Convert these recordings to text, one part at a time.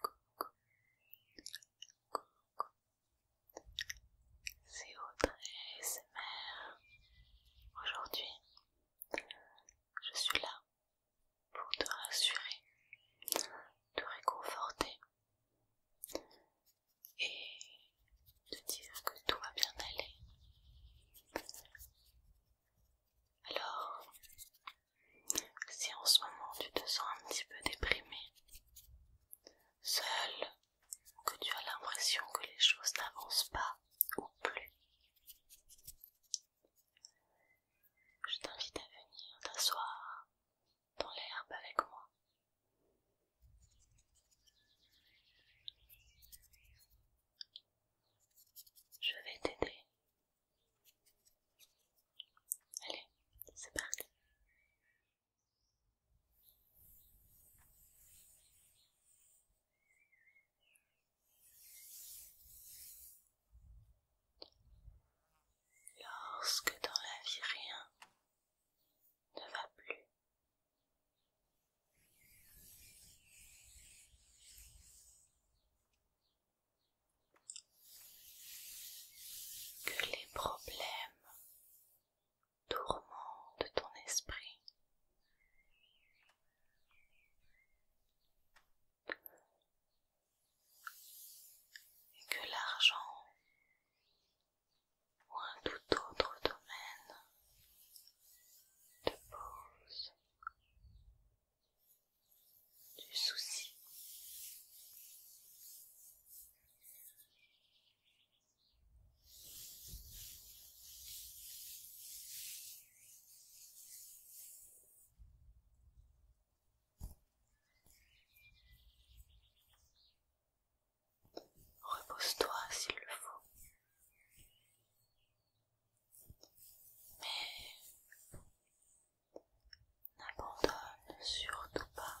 Coucou. C'est Audrey Aujourd'hui, je suis là pour te rassurer, te réconforter et te dire que tout va bien aller. Alors, si en ce moment tu te sens un petit peu déprimé, seul, que tu as l'impression que les choses n'avancent pas ou plus, je t'invite à venir t'asseoir dans l'herbe avec moi je vais t'aider. Allez, c'est parti. Lorsque dans la vie rien ne va plus, que les problèmes tourmentent ton esprit. Et que l'argent ou un tout autre domaine de pause, du souci. Repose-toi s'il le faut. Mais n'abandonne surtout pas.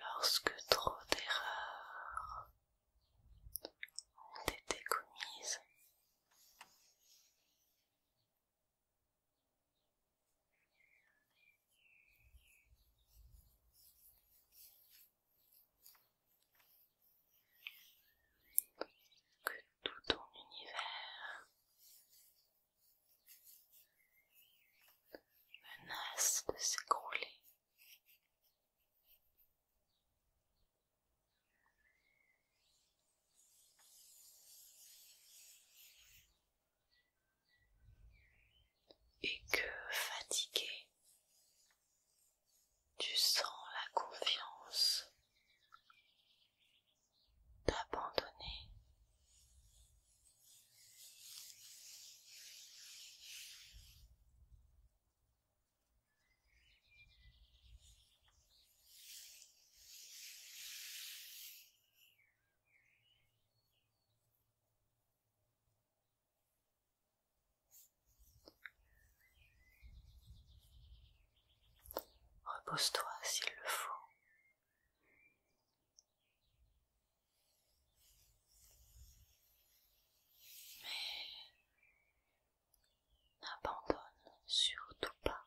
Lorsque trop d'erreurs ont été commises, que tout ton univers menace de s'écrouler. Et que, fatigué, tu sens la confiance t'abandonner Repose-toi s'il le faut mais abandonne surtout pas.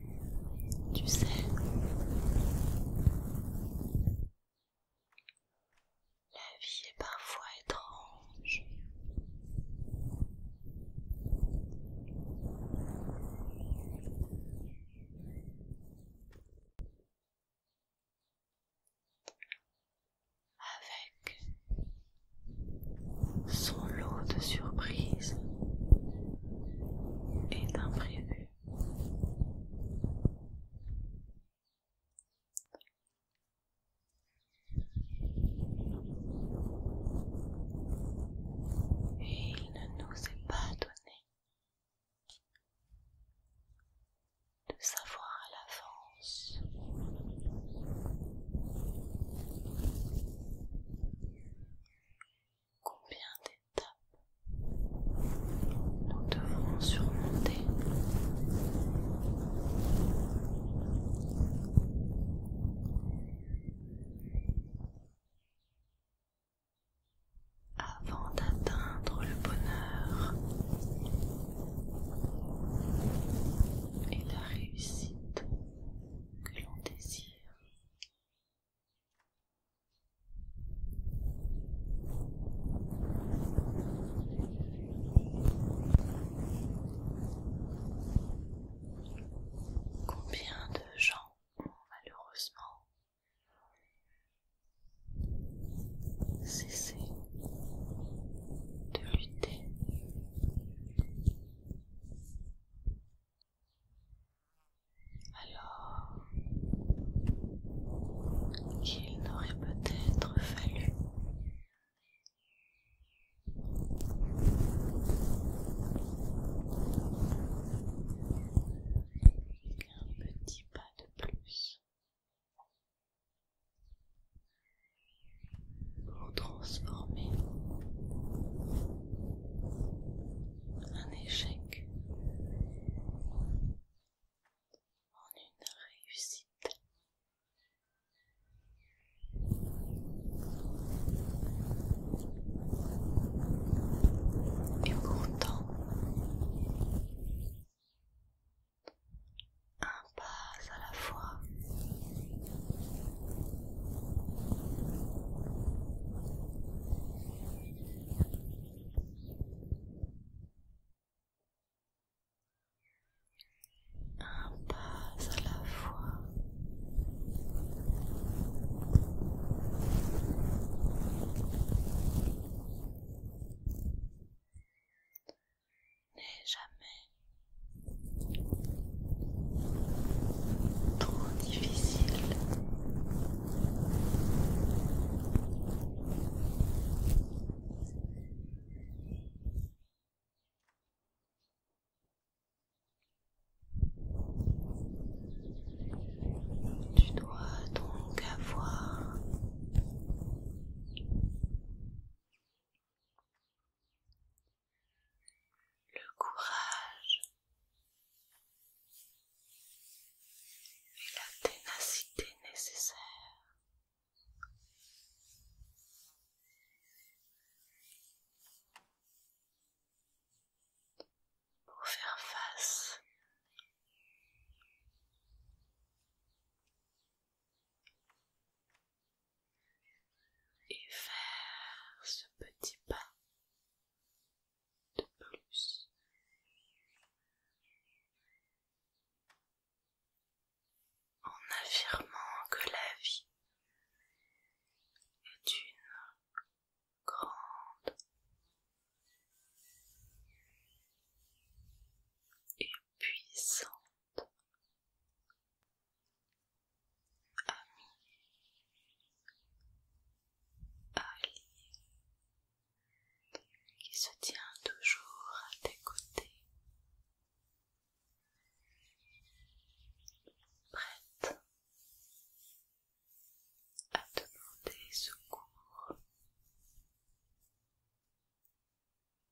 Tu sais, la vie est parfois étrange. Avec son lot de surprises et d'imprévus. Et il ne nous est pas donné de savoir à l'avance combien d'étapes nous devons surmonter avant d'atteindre le bonheur et la réussite que l'on désire. Combien de gens ont malheureusement cessé de lutter alors qu'il n'aurait peut-être fallu un petit pas de plus transformer un échec en une réussite. Et pourtant, un pas à la fois, un pas à la fois. mais jamais trop difficile. Tu dois donc avoir le courage et la ténacité nécessaire pour faire face et faire ce petit pas de plus. En affirmant que la vie est une grande et puissante Ami qui se tient toujours à tes côtés, prête à demander secours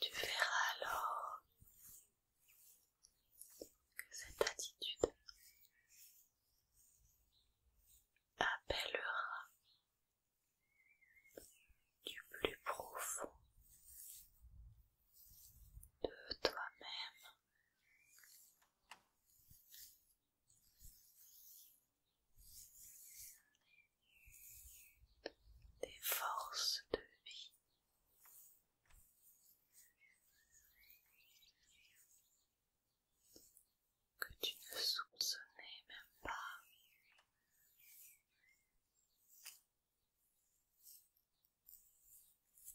Tu verras alors que cette attitude appellera du plus profond de toi-même des forces de vie. Que tu ne soupçonnais même pas.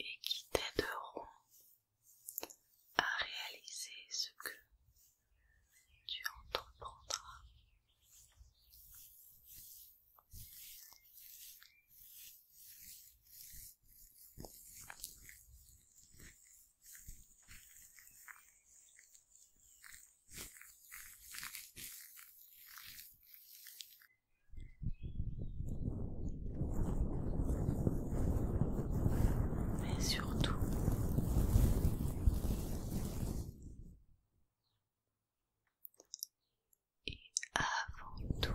et qui t'aideront à réaliser ce que tu entreprendras. Mais surtout, et avant tout,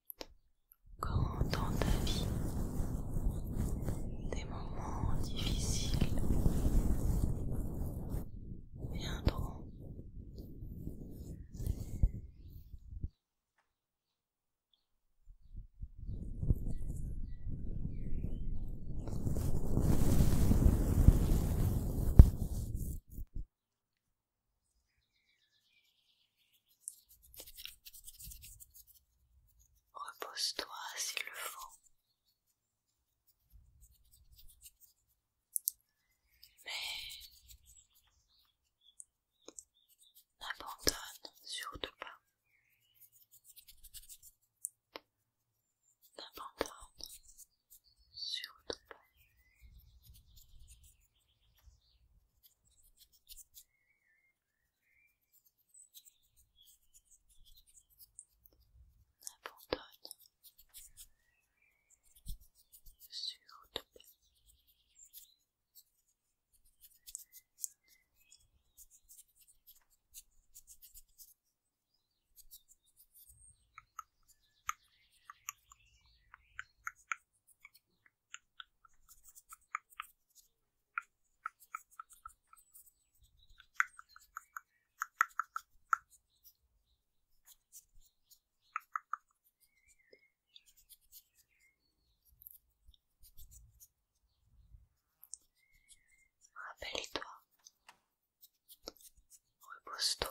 Quand dans ta vie, des moments difficiles viendront, Repose-toi s'il le faut. Mais n'abandonne surtout pas. N'abandonne surtout pas. Abandonne sur toi. Rappelle-toi, repose-toi,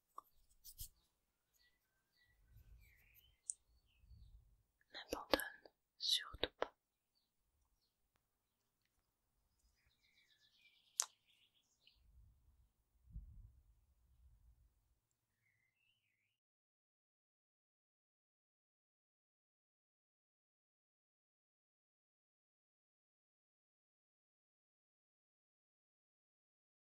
N'abandonne surtout pas.